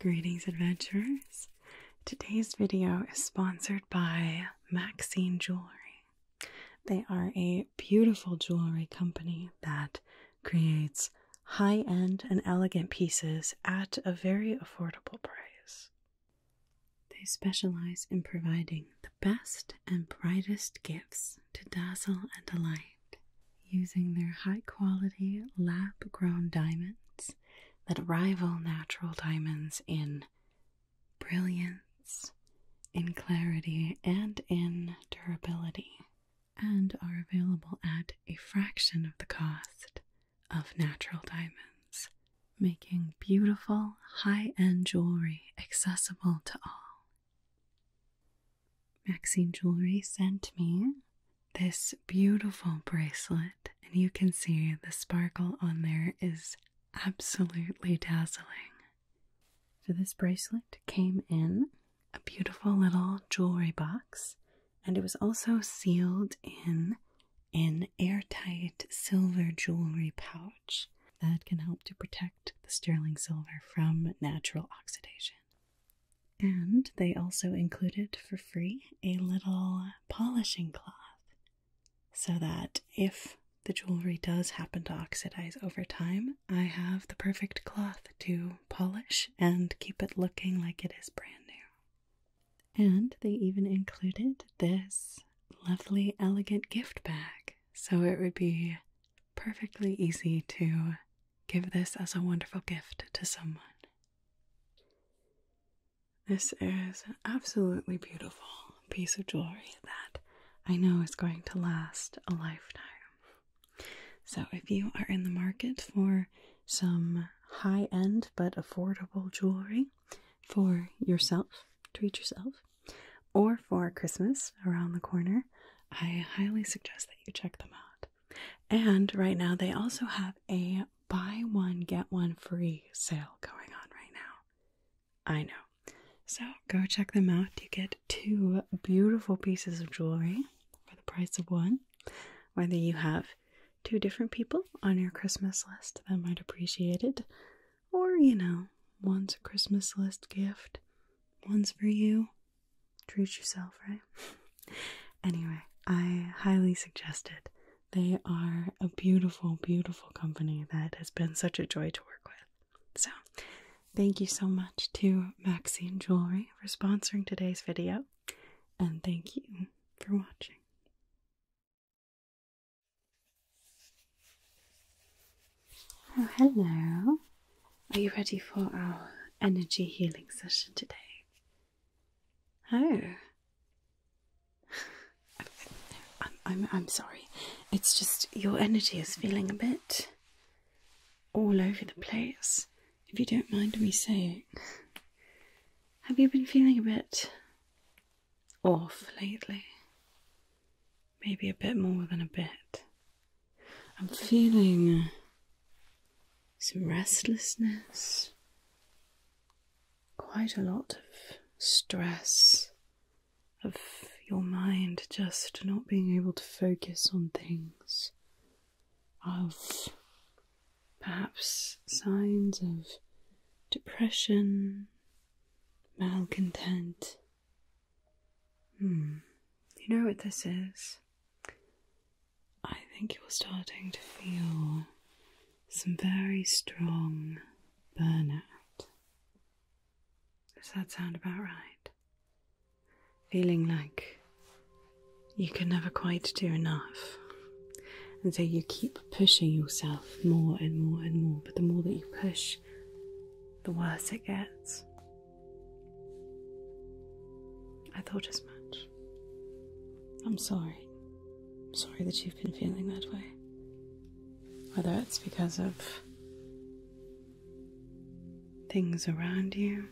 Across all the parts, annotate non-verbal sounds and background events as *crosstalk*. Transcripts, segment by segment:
Greetings, adventurers. Today's video is sponsored by Maxine Jewelry. They are a beautiful jewelry company that creates high end and elegant pieces at a very affordable price. They specialize in providing the best and brightest gifts to dazzle and delight using their high quality lab grown diamonds that rival natural diamonds in brilliance, in clarity, and in durability, and are available at a fraction of the cost of natural diamonds, making beautiful high end jewelry accessible to all. Maxine Jewelry sent me this beautiful bracelet, and you can see the sparkle on there is absolutely dazzling. So, this bracelet came in a beautiful little jewelry box, and it was also sealed in an airtight silver jewelry pouch that can help to protect the sterling silver from natural oxidation. And they also included for free a little polishing cloth so that if the jewelry does happen to oxidize over time, I have the perfect cloth to polish and keep it looking like it is brand new. And they even included this lovely, elegant gift bag so it would be perfectly easy to Give this as a wonderful gift to someone. This is an absolutely beautiful piece of jewelry that I know is going to last a lifetime. So, if you are in the market for some high end but affordable jewelry for yourself, treat yourself, or for Christmas around the corner, I highly suggest that you check them out. And right now, they also have a buy one, get one free sale going on right now. I know. So go check them out. You get two beautiful pieces of jewelry for the price of one. Whether you have two different people on your Christmas list that might appreciate it, or you know, one's a Christmas list gift, one's for you, treat yourself, right? *laughs* anyway, I highly suggest it. They are a beautiful, beautiful company that has been such a joy to work with. So, thank you so much to Maxine Jewelry for sponsoring today's video, and thank you for watching. Oh, hello. Are you ready for our energy healing session today? Oh. *laughs* I'm, I'm, sorry. It's just your energy is feeling a bit all over the place, if you don't mind me saying. Have you been feeling a bit off lately? Maybe a bit more than a bit. I'm feeling some restlessness, quite a lot of stress of your mind just not being able to focus on things, of perhaps signs of depression, malcontent. Hmm, you know what this is? I think you're starting to feel some very strong burnout. Does that sound about right? Feeling like you can never quite do enough. And so you keep pushing yourself more and more and more, but the more that you push, the worse it gets. I thought as much. I'm sorry. I'm sorry that you've been feeling that way. Whether it's because of things around you,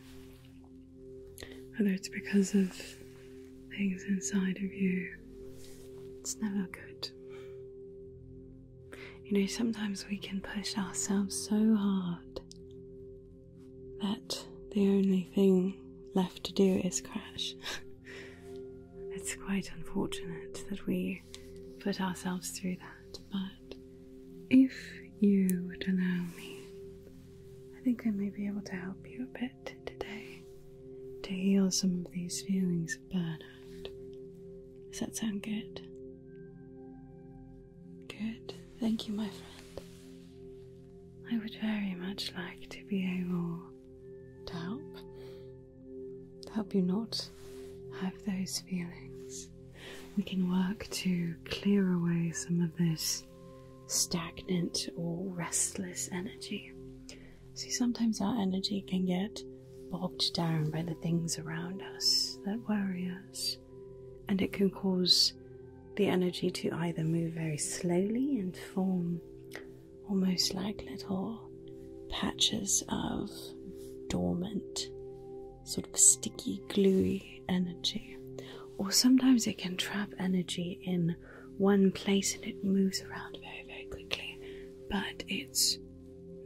whether it's because of things inside of you, it's never good. You know, sometimes we can push ourselves so hard that the only thing left to do is crash. *laughs* it's quite unfortunate that we put ourselves through that, but if you would allow me, I think I may be able to help you a bit today to heal some of these feelings of burnout. Does that sound good? Good. Thank you, my friend. I would very much like to be able to help. To help you not have those feelings. We can work to clear away some of this stagnant or restless energy. See, sometimes our energy can get bogged down by the things around us that worry us, and it can cause the energy to either move very slowly and form almost like little patches of dormant, sort of sticky, gluey energy. Or sometimes it can trap energy in one place and it moves around very, very quickly, but it's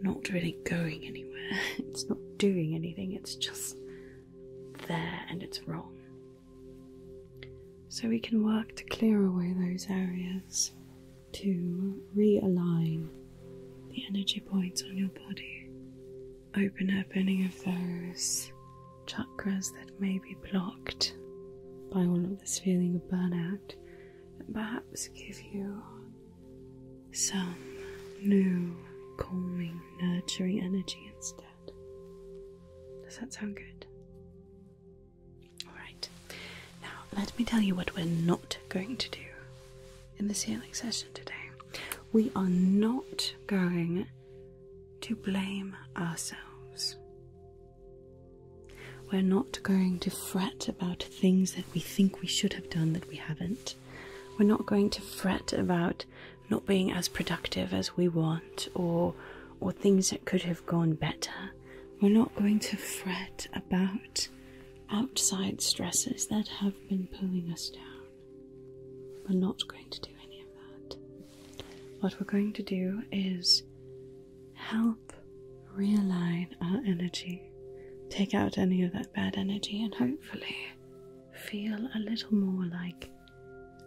not really going anywhere, *laughs* it's not doing anything, it's just there and it's wrong. So we can work to clear away those areas to realign the energy points on your body, open up any of those chakras that may be blocked by all of this feeling of burnout, and perhaps give you some new, calming, nurturing energy instead. Does that sound good? Alright, now let me tell you what we're not going to do in this healing session today. We are not going to blame ourselves. We're not going to fret about things that we think we should have done that we haven't. We're not going to fret about not being as productive as we want or or things that could have gone better we're not going to fret about outside stresses that have been pulling us down we're not going to do any of that what we're going to do is help realign our energy take out any of that bad energy and hopefully feel a little more like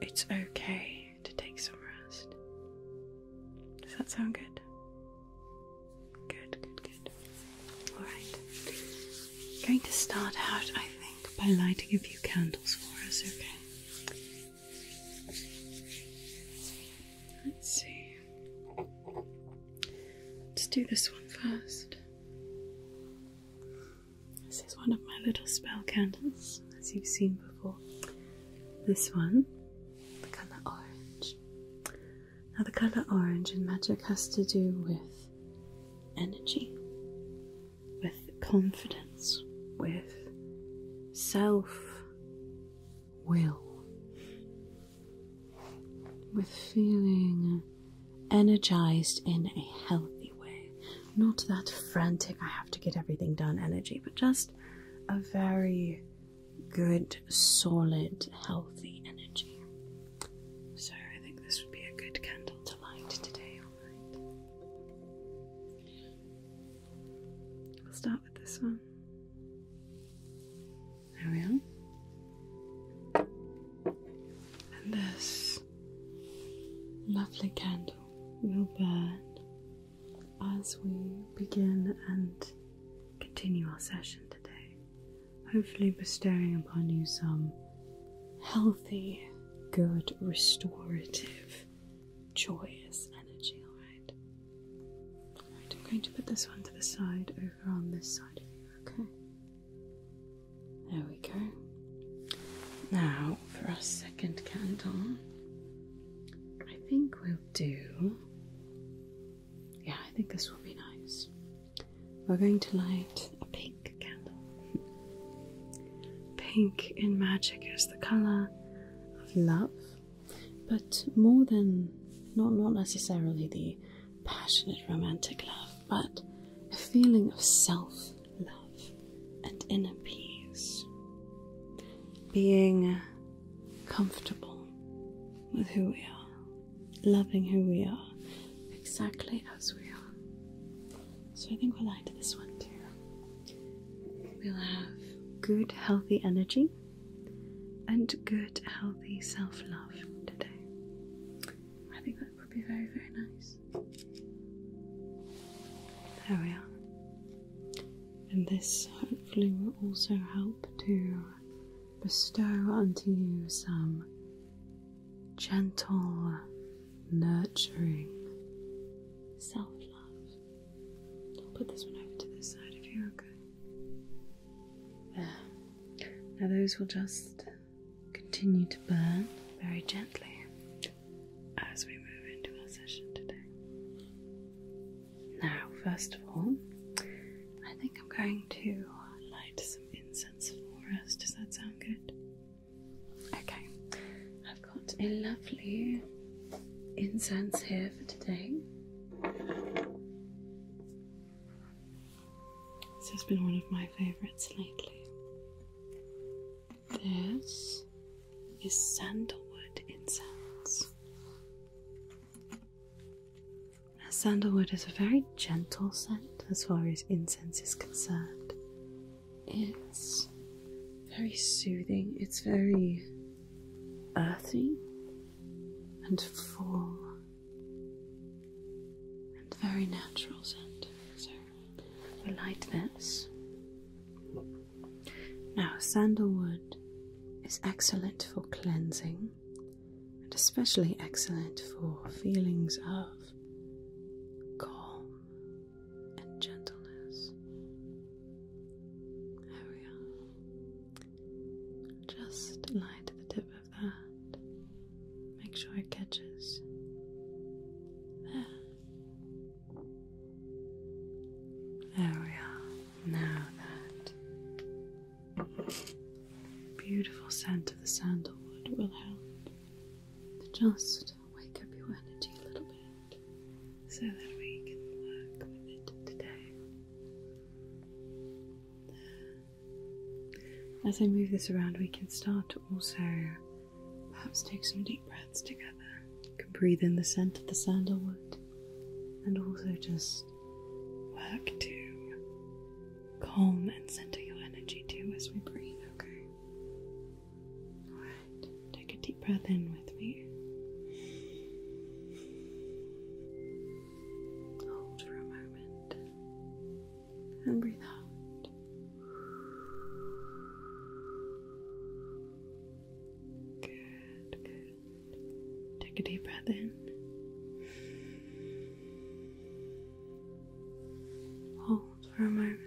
it's okay to take some rest. Does that sound good? Good, good, good. Alright. Going to start out, I think, by lighting a few candles for us, okay? Let's see. Let's do this one first. This is one of my little spell candles, as you've seen before. This one, the colour orange. Now, the colour orange in magic has to do with energy, with confidence, with self will, with feeling energized in a healthy way, not that frantic, I have to get everything done energy, but just a very good, solid, healthy energy. So I think this would be a good candle to light today, alright? We'll start with this one. There we are. And this lovely candle your bird as we begin and continue our session today. Hopefully, bestowing upon you some healthy, good, restorative, joyous energy. Alright? Alright, I'm going to put this one to the side over on this side of you, okay? There we go. Now, for our second candle, I think we'll do. Yeah, I think this will be nice. We're going to light a pink candle. Pink in magic is the colour of love, but more than not not necessarily the passionate romantic love, but a feeling of self love and inner peace. Being comfortable with who we are, loving who we are exactly as we are. So I think we are add to this one too. We'll have good, healthy energy and good, healthy self love today. I think that would be very, very nice. There we are. And this hopefully will also help to bestow unto you some gentle, nurturing self love. I'll put this one over to this side if you're okay. There. Now, those will just continue to burn very gently as we move into our session today. Now, first of all, I think I'm going to light some incense for us. Does that sound good? Okay, I've got a lovely incense here for today. This has been one of my favourites lately. This is sandalwood incense. sandalwood is a very gentle scent as far as incense is concerned. It's very soothing, it's very earthy and full and very natural scent. You like this? Now, sandalwood is excellent for cleansing and especially excellent for feelings of calm and gentleness. There we are. Just light the tip of that. Make sure it catches. There. There we are. Now that beautiful scent of the sandalwood will help to just wake up your energy a little bit so that we can work with it today. As I move this around, we can start also Perhaps take some deep breaths together. You can breathe in the scent of the sandalwood and also just work to calm and center your energy too as we breathe, okay? Alright, take a deep breath in with me. Hold for a moment and breathe out. Good, Take a deep breath in. Hold for a moment.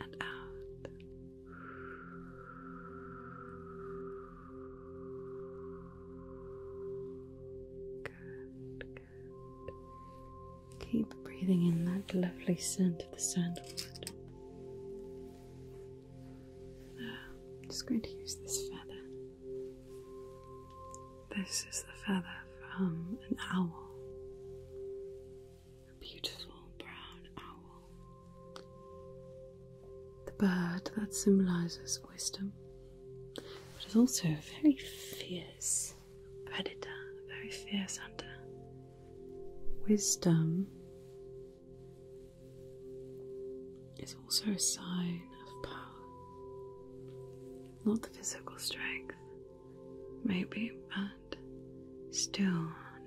And out. Good, good. Keep breathing in that lovely scent of the sandalwood. I'm just going to use this feather. This is the feather from an owl, a beautiful brown owl, the bird that symbolizes wisdom, but is also very fierce predator, a very fierce hunter. Wisdom is also a sign of power. Not the physical strength, maybe, but still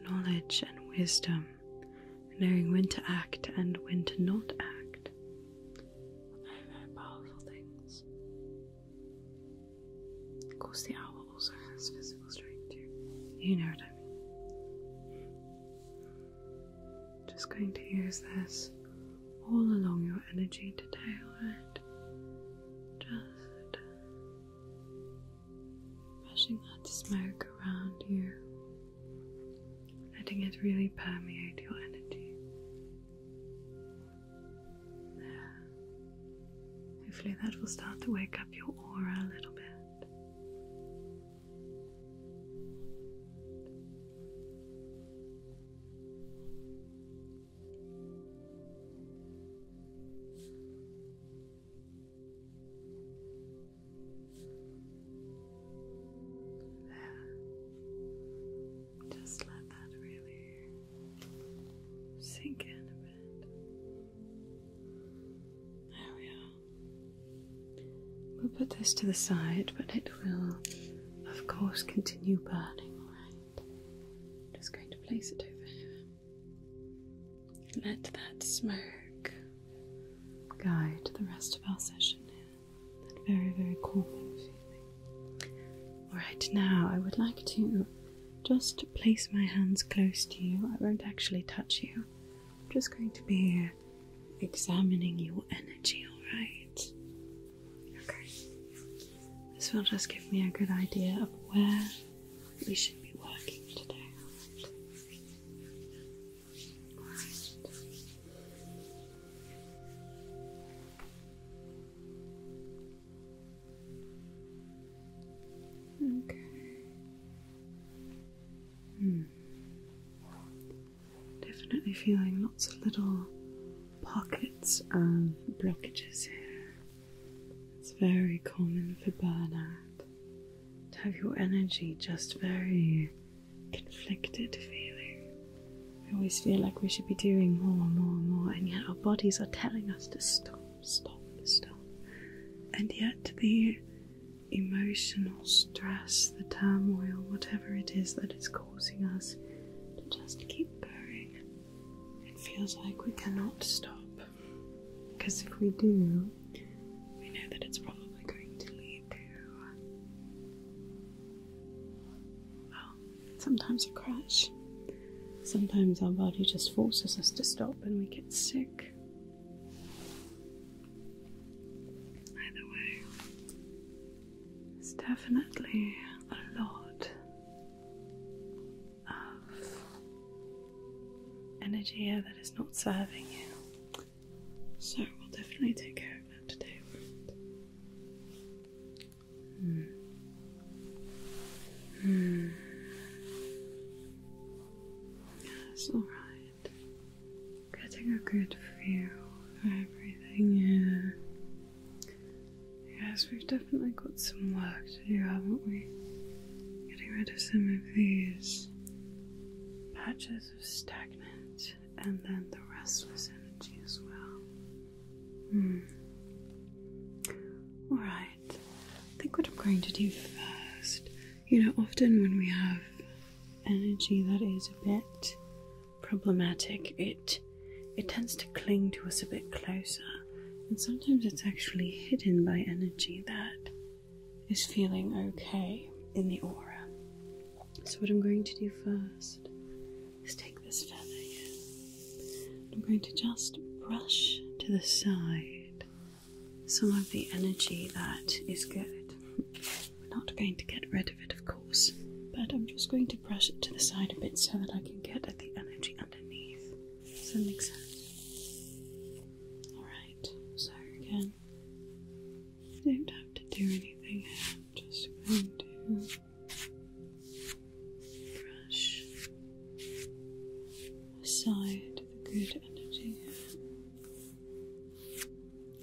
knowledge and wisdom, knowing when to act and when to not act. powerful things. Of course, the owl also has physical strength too. You know what I mean. Just going to use this all along your energy to tail it. Just pushing that smoke around you, letting it really permeate your energy. Hopefully, that will start to wake up your aura a little bit. There. Just let that really Sink in a bit. There we are. We'll put this to the side, but it will, of course, continue burning, alright? I'm just going to place it over here. Let that smoke guide the rest of our session That very, very calming feeling. Alright, now I would like to just place my hands close to you. I won't actually touch you. I'm just going to be examining your energy, alright? Okay. This will just give me a good idea of where we should be working today. Okay. Hmm. Definitely feeling lots of little pockets and blockages here. It's very common for burnout to have your energy just very conflicted feeling. We always feel like we should be doing more and more and more, and yet our bodies are telling us to stop stop still. And yet, the emotional stress, the turmoil, whatever it is that is causing us to just keep going, it feels like we cannot stop. Because if we do, we know that it's probably going to lead to. Well, sometimes a crash, sometimes our body just forces us to stop and we get sick. Either way, it's definitely a lot of energy here that is not serving you. So we'll definitely take care of that today. Hmm. Yes, alright. Getting a good feel for everything here. Yes, we've definitely got some work to do, haven't we? Getting rid of some of these patches of stagnant and then the restless energy as well. Hmm. Alright. I think what I'm going to do first, you know, often when we have energy that is a bit problematic, it it tends to cling to us a bit closer, and sometimes it's actually hidden by energy that is feeling okay in the aura. So, what I'm going to do first is take this feather I'm going to just brush to the side some of the energy that is good. We're not going to get rid of it, of course, but I'm just going to brush it to the side a bit so that I can get at the energy underneath. Does that make sense? Alright, Sorry again, you don't have to do anything I'm just going to brush aside the good energy.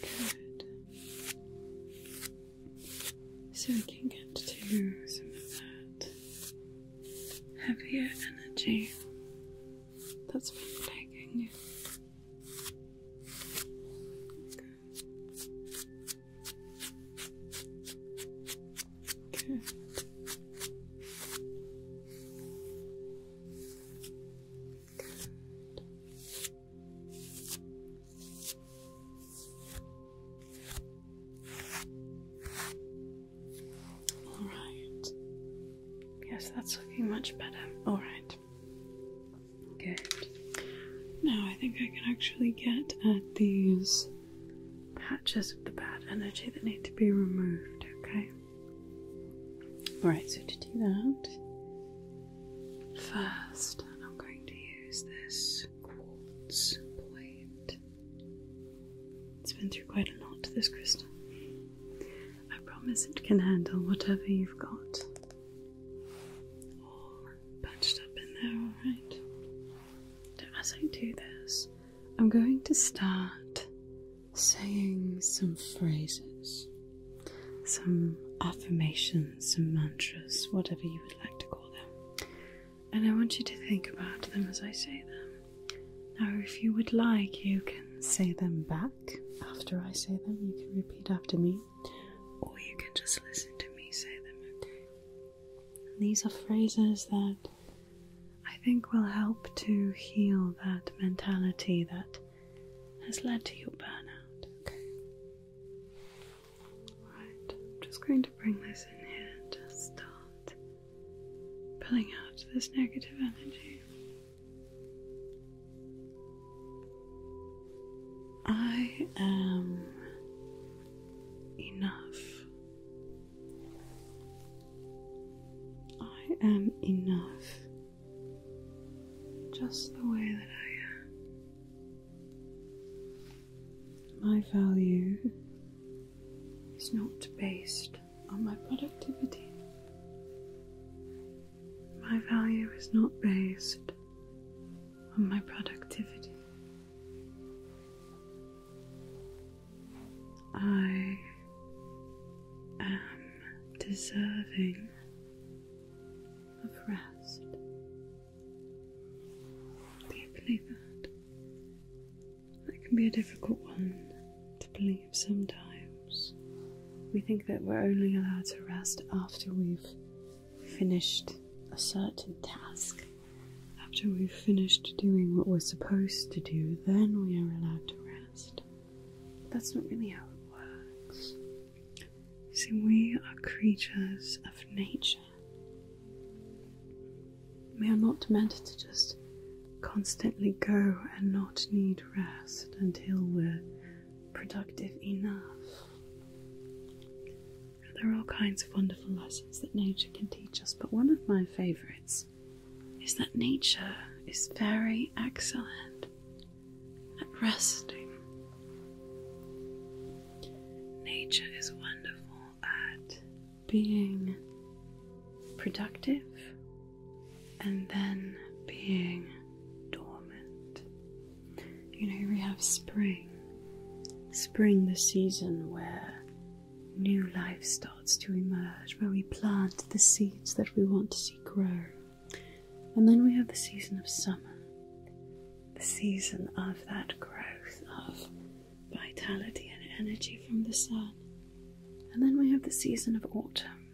Good. So we can get to some of that heavier energy that's been plaguing you. All right. Yes, that's looking much better. All right. Okay. Now I think I can actually get at these patches of the bad energy that need to be removed, okay? Alright, so to do that, first I'm going to use this quartz plate. It's been through quite a lot, this crystal. I promise it can handle whatever you've got. All patched up in there, alright? So as I do this, I'm going to start saying some phrases, some affirmations, some mantras, whatever you would like to call them. And I want you to think about them as I say them. Now, if you would like, you can say them back after I say them, you can repeat after me, or you can just listen to me say them, okay? these are phrases that I think will help to heal that mentality that has led to your burnout. Okay. Right, I'm just going to bring this in here and just start pulling out this negative energy. I am enough. I am enough just the way that I am. My value is not based on my productivity. My value is not based on my productivity. I am deserving of rest. Deeply that. That can be a difficult one to believe sometimes. We think that we're only allowed to rest after we've finished a certain task after we've finished doing what we're supposed to do, then we are allowed to rest. that's not really how it works. see, we are creatures of nature. We are not meant to just constantly go and not need rest until we're productive enough. There are all kinds of wonderful lessons that nature can teach us, but one of my favourites is that nature is very excellent at resting. Nature is wonderful at being productive and then being dormant. You know, we have spring. Spring, the season where New life starts to emerge where we plant the seeds that we want to see grow. And then we have the season of summer, the season of that growth of vitality and energy from the sun. And then we have the season of autumn,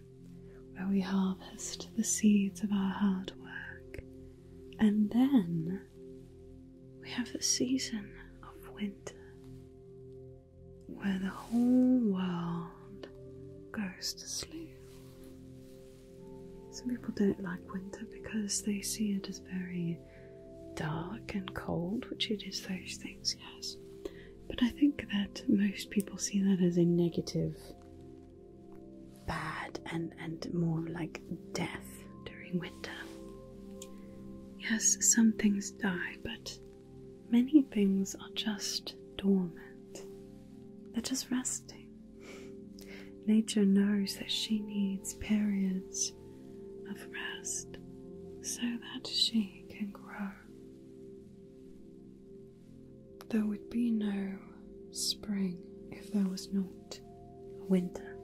where we harvest the seeds of our hard work. And then we have the season of winter, where the whole world goes to sleep. Some people don't like winter because they see it as very dark and cold, which it is those things, yes. But I think that most people see that as a negative, bad, and, and more like death during winter. Yes, some things die, but Many things are just dormant, they're just resting. Nature knows that she needs periods of rest so that she can grow. There would be no spring if there was not a winter.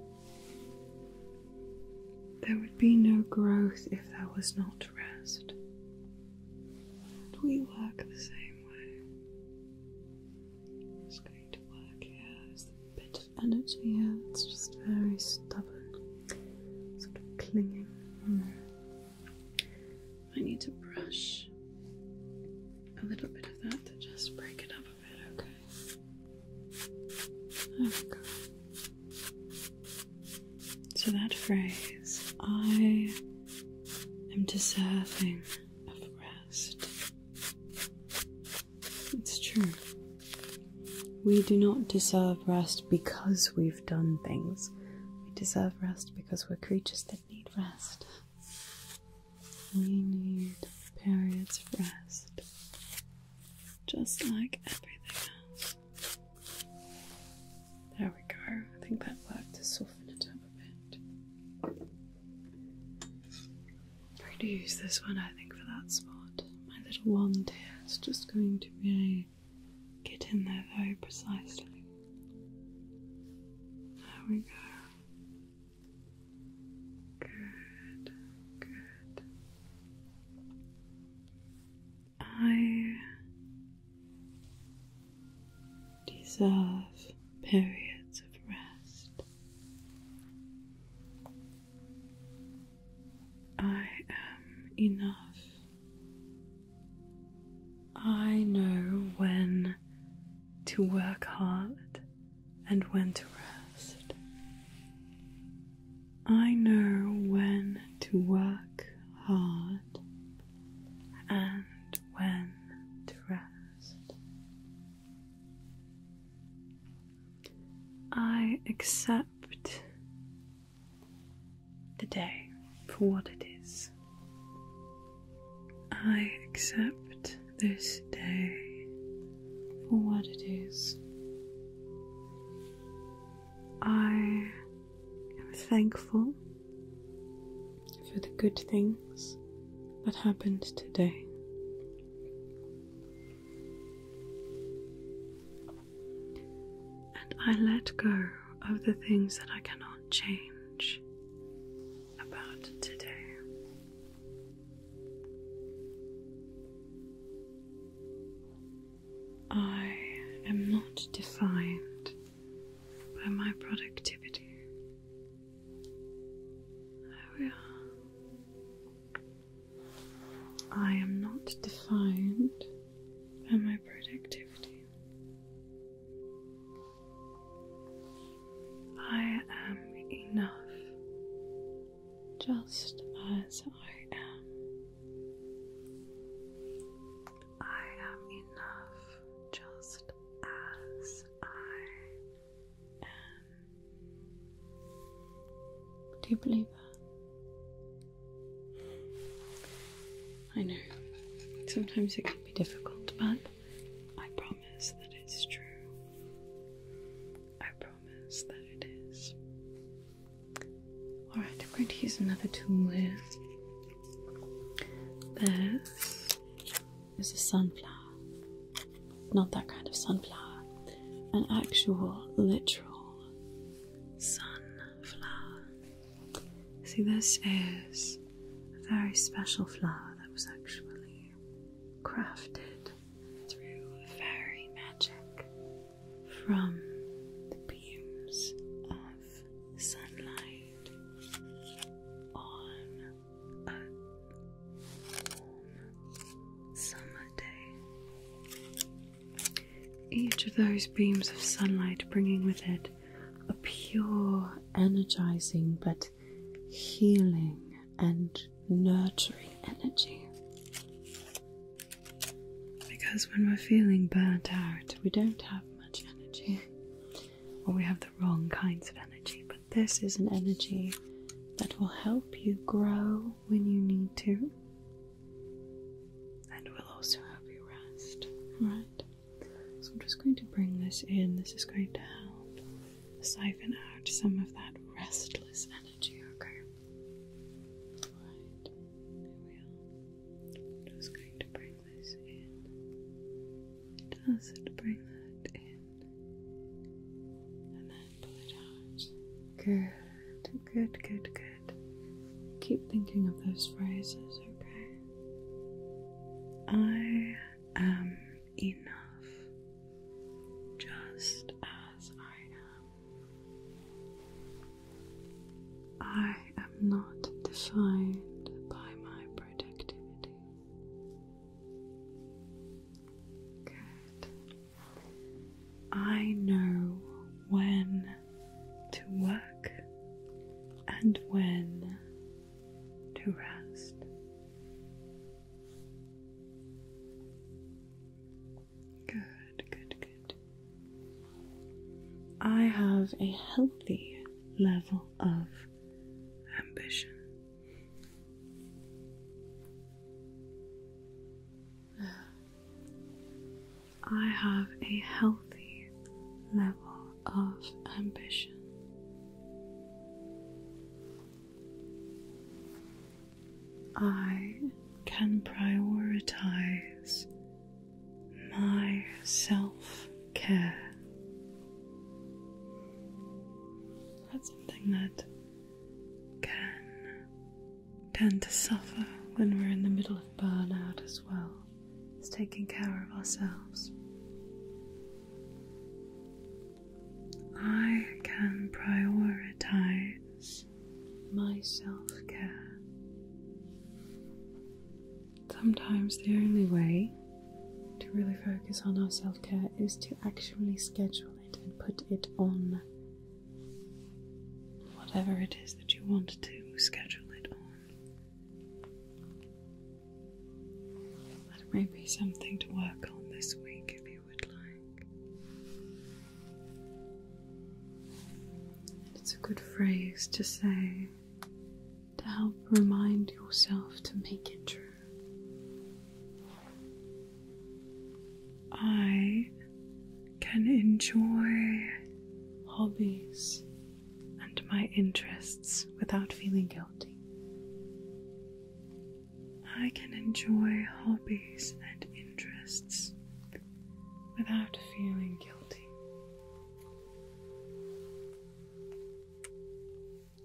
There would be no growth if there was not rest. we work the same way. It's just going to work here bit of energy here that's just very stubborn, sort of clinging. I need to brush a little bit of that to just break it up a bit, okay? There so that phrase, I am deserving of rest. It's true. We do not deserve rest because we've done things. We deserve rest because we're creatures that need rest. We need periods of rest, just like everything else. There we go. I think that worked to soften it up a bit. I'm going to use this one, I think, for that spot. My little wand here is just going to really get in there very precisely. There we go. Good, good. I deserve periods of rest. I am enough. I know when to work hard and when to rest. I know when to work hard and when to rest. I accept the day for what it is. I accept this day for what it is. I am thankful for the good things that happened today. And I let go of the things that I cannot change about today. I am not defined by my productivity. There oh, we I am not defined by my productivity. I am enough just as I am. I am enough just as I am. Do you believe that? I know. Sometimes it can be difficult, but I promise that it's true. I promise that it is. Alright, I'm going to use another tool here. This is a sunflower. Not that kind of sunflower. An actual, literal sunflower. See, this is a very special flower that was actually crafted through fairy magic from the beams of sunlight on a warm summer day. Each of those beams of sunlight bringing with it a pure, energizing, but healing and nurturing energy. Because when we're feeling burnt out, we don't have much energy, or we have the wrong kinds of energy. But this is an energy that will help you grow when you need to, and will also help you rest. Right? So I'm just going to bring this in. This is going to help siphon out some of that restless energy, okay? Right. I'm just going to bring this in. Just bring that in. And then pull it out. Good, good, good, good. Keep thinking of those phrases, okay? I am enough just as I am. I am not defined by my productivity. Good. I know when to work and when to rest. Good, good, good. I have a healthy level of ambition. I have a healthy level of ambition. I can prioritize my self care. That's something that can tend to suffer when we're in the middle of burnout as well, is taking care of ourselves. I can prioritize my self care. Sometimes the only way to really focus on our self care is to actually schedule it and put it on whatever it is that you want to schedule it on. That may be something to work on this week if you would like. It's a good phrase to say to help remind yourself to make it true. I can enjoy hobbies and my interests without feeling guilty. I can enjoy hobbies and interests without feeling guilty.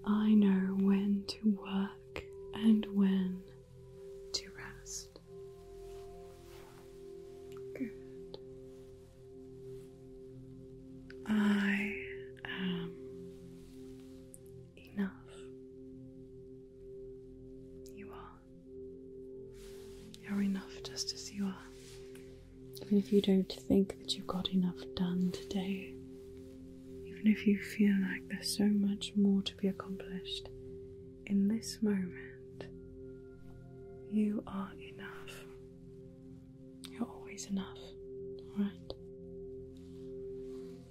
I know when to work and when to rest. Good. I am enough. You are. You're enough just as you are. Even if you don't think that you've got enough done today, even if you feel like there's so much more to be accomplished, in this moment, you are enough. You're always enough, alright?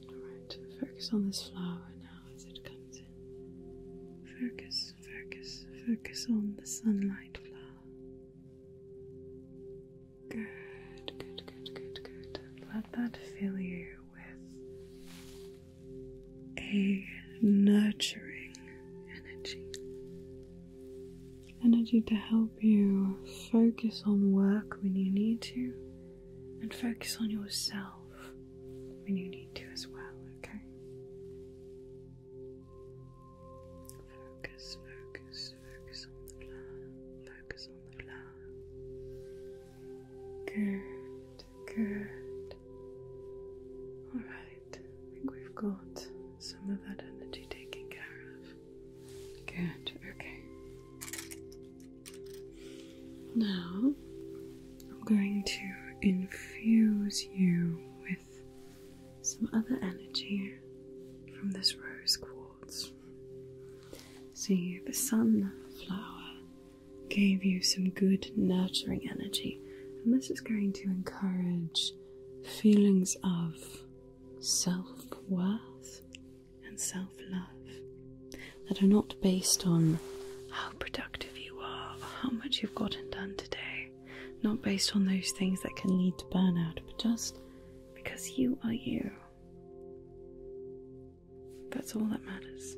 Alright, focus on this flower now as it comes in. Focus focus, focus, on the sunlight flower. Good, good, good, good, good. Let that fill you with a nurturing energy. Energy to help you focus on work when you need to and focus on yourself when you need to as well, okay? Focus, focus, focus on the floor. Focus on the floor. Good, good. Alright, I think we've got some of that energy taken care of. Good, okay. Now I'm going to infuse you with some other energy from this rose quartz. See the sunflower gave you some good nurturing energy, and this is going to encourage feelings of self worth and self love that are not based on how productive you are or how much you've gotten done today, not based on those things that can lead to burnout, but just because you are you. That's all that matters.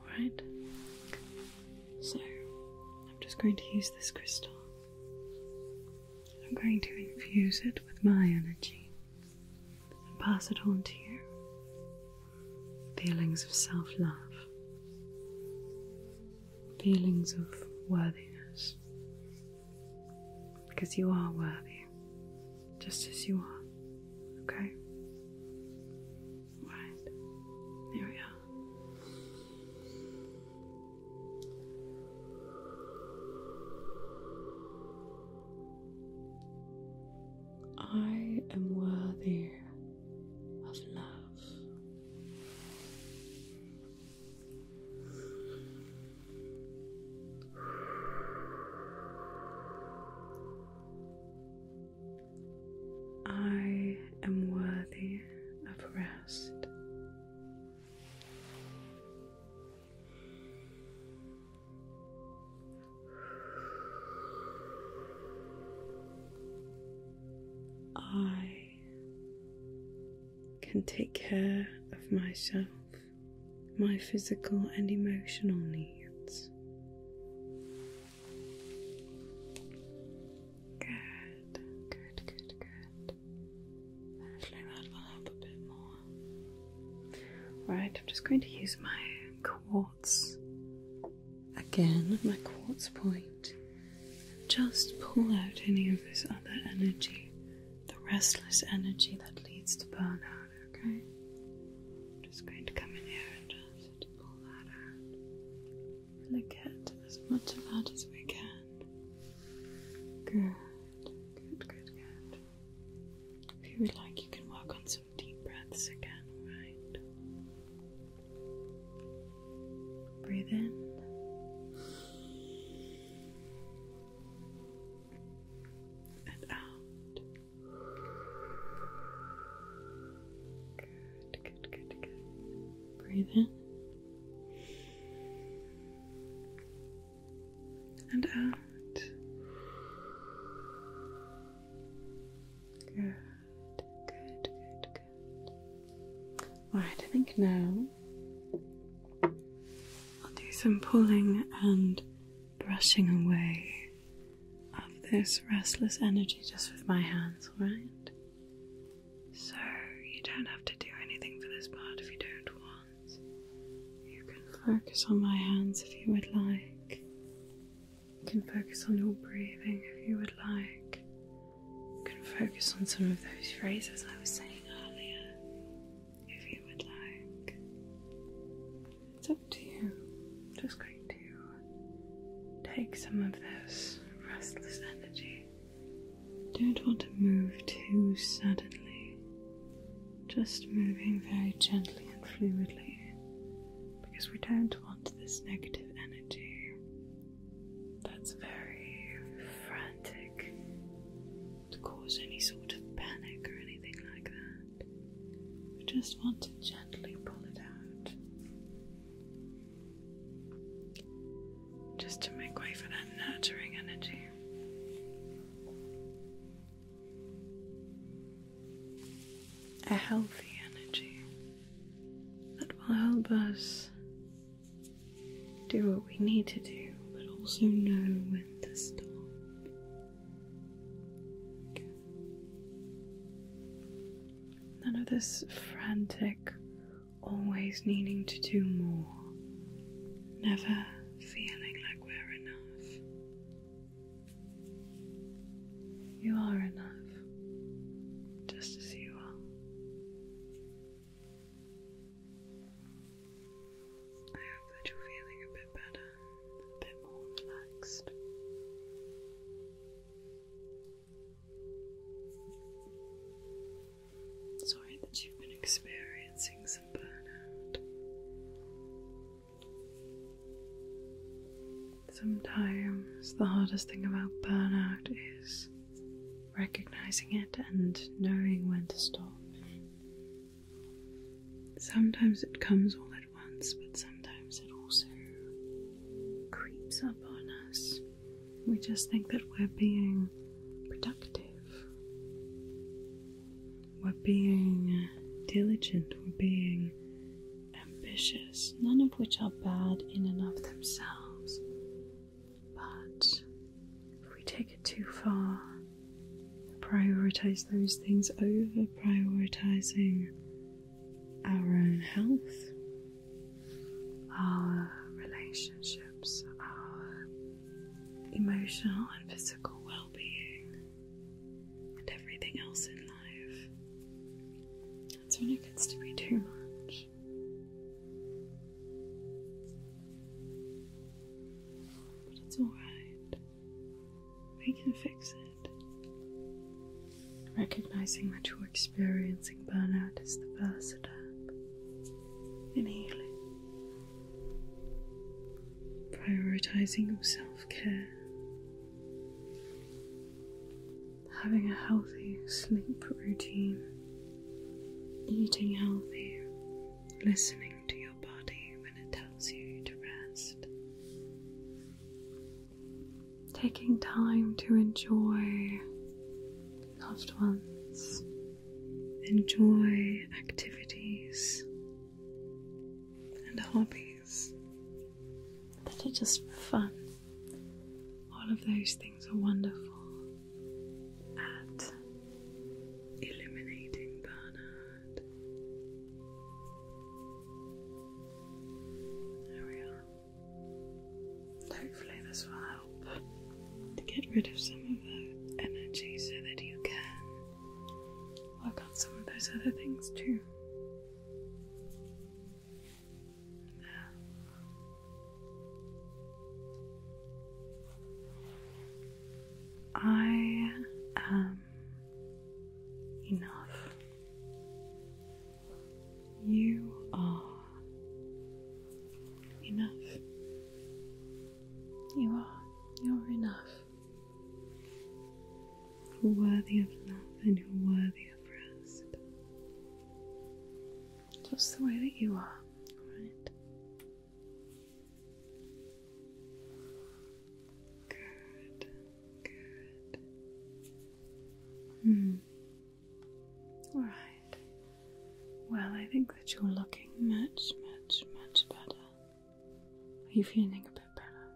Alright? So, I'm just going to use this crystal. I'm going to infuse it with my energy and pass it on to you. Feelings of self love, feelings of worthiness because you are worthy just as you are, okay? Right, here we are. I am worthy of love. I am worthy of rest. I can take care of myself, my physical and emotional needs. Good, good, good, good. Actually, that will help a bit more. Right, I'm just going to use my quartz Again, my quartz point. Just pull out any of this other energy, the restless energy that leads to burnout, okay? I'm just going to come in here and just pull that out. Really get as much of that as we can. Good, good, good, good. If you would like, you can work on some deep breaths again, right? Breathe in. And out. Good, good, good, good. Breathe in. And out. Good. Good, good, good. Right, I think now I'll do some pulling and brushing away of this restless energy just with my hands, alright? So you don't have to do anything for this part if you don't want. You can focus on my hands if you would like. You can focus on your breathing if you would like. You can focus on some of those phrases I was saying earlier if you would like. It's up to you. just going to take some of this restless energy. Don't want to move too suddenly, just moving very gently and fluidly because we don't want this negative energy that's very frantic to cause any sort of panic or anything like that. We just want to gently pull it out. Just to make way for that nurturing energy. A healthy energy that will help us do what we need to do, but also know when to stop. None of this frantic, always needing to do more, never feeling like we're enough. You are enough, just as you are. I hope that you're feeling a bit better, a bit more relaxed. Sorry that you've been experiencing some burnout. Sometimes the hardest thing about burnout is recognizing it and knowing when to stop. Sometimes it comes all at once, but sometimes it also creeps up on us. We just think that we're being productive, we're being diligent, we're being ambitious, none of which are bad in and of themselves. But if we take it too far, prioritize those things over prioritizing our own health, our relationships, our emotional and physical well being, and everything else in life. That's when it gets to be too much. But it's alright. We can fix it. Recognizing that you're experiencing burnout is the first step in healing. Prioritizing self care having a healthy sleep routine, eating healthy, listening to your body when it tells you to rest, taking time to enjoy loved ones, enjoy activities and hobbies that are just fun. All of those things things are wonderful at illuminating Bernard. There we are. Hopefully, this will help to get rid of some of the energy so that you can work on some of those other things too. I am enough. You are enough. You are. You're enough. You're worthy of love and you're worthy of rest just the way that you are, alright? Good, good. Hmm. Alright. Well, I think that you're looking much, much, much better. Are you feeling a bit better?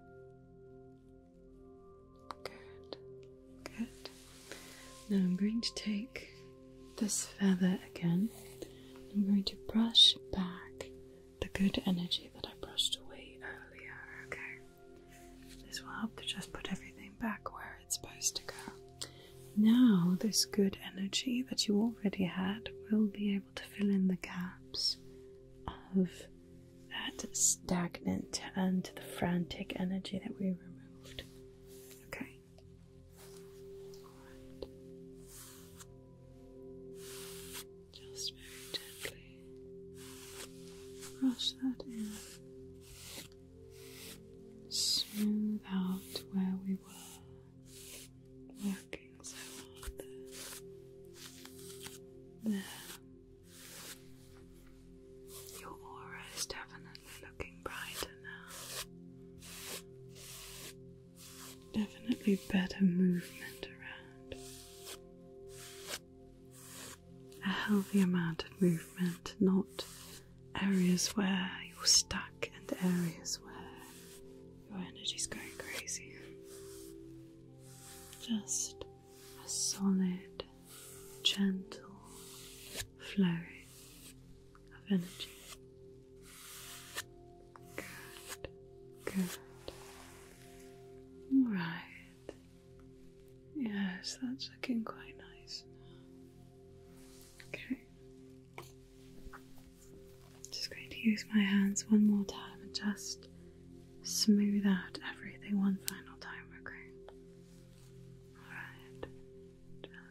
Good. Good. Now I'm going to take this feather again. I'm going to brush back the good energy that I brushed away earlier, okay? This will help to just put everything back where it's supposed to go. Now, this good energy that you already had will be able to fill in the gaps of that stagnant and the frantic energy that we removed. Okay, just very gently brush that in. Smooth out where we were working so hard There. Your aura is definitely Definitely looking brighter now. Definitely better movement around. A healthy amount of movement, not areas where you're stuck and areas where your energy's going crazy. Just a solid gentle flowing of energy. Good, good. All right. Yes, that's looking quite nice. Okay. Just going to use my hands one more time and just smooth out everything one final time, okay? Alright.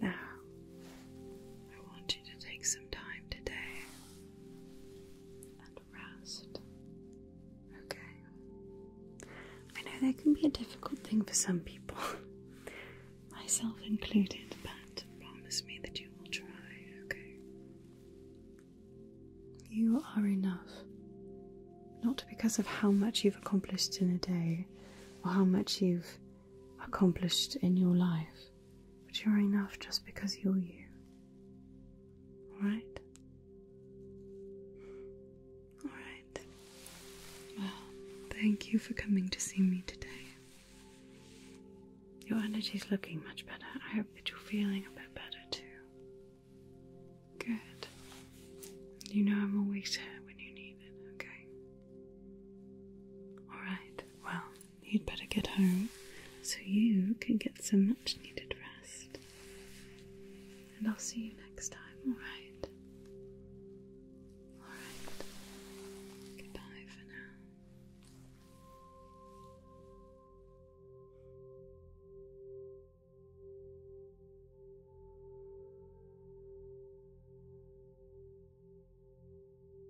Now, I want you to take some time today and rest. Okay. I know that can be a difficult thing for some people, *laughs* myself included, but promise me that you will try, okay? You are enough. Not because of how much you've accomplished in a day or how much you've accomplished in your life, but you're enough just because you're you. Alright? Alright. Well, thank you for coming to see me today. Your energy's looking much better. I hope that you're feeling a bit better too. Good. You know I'm always here when you need it, okay? Alright. Well, you'd better get home so you can get some much needed rest. And I'll see you next time, alright? Alright. Goodbye for now.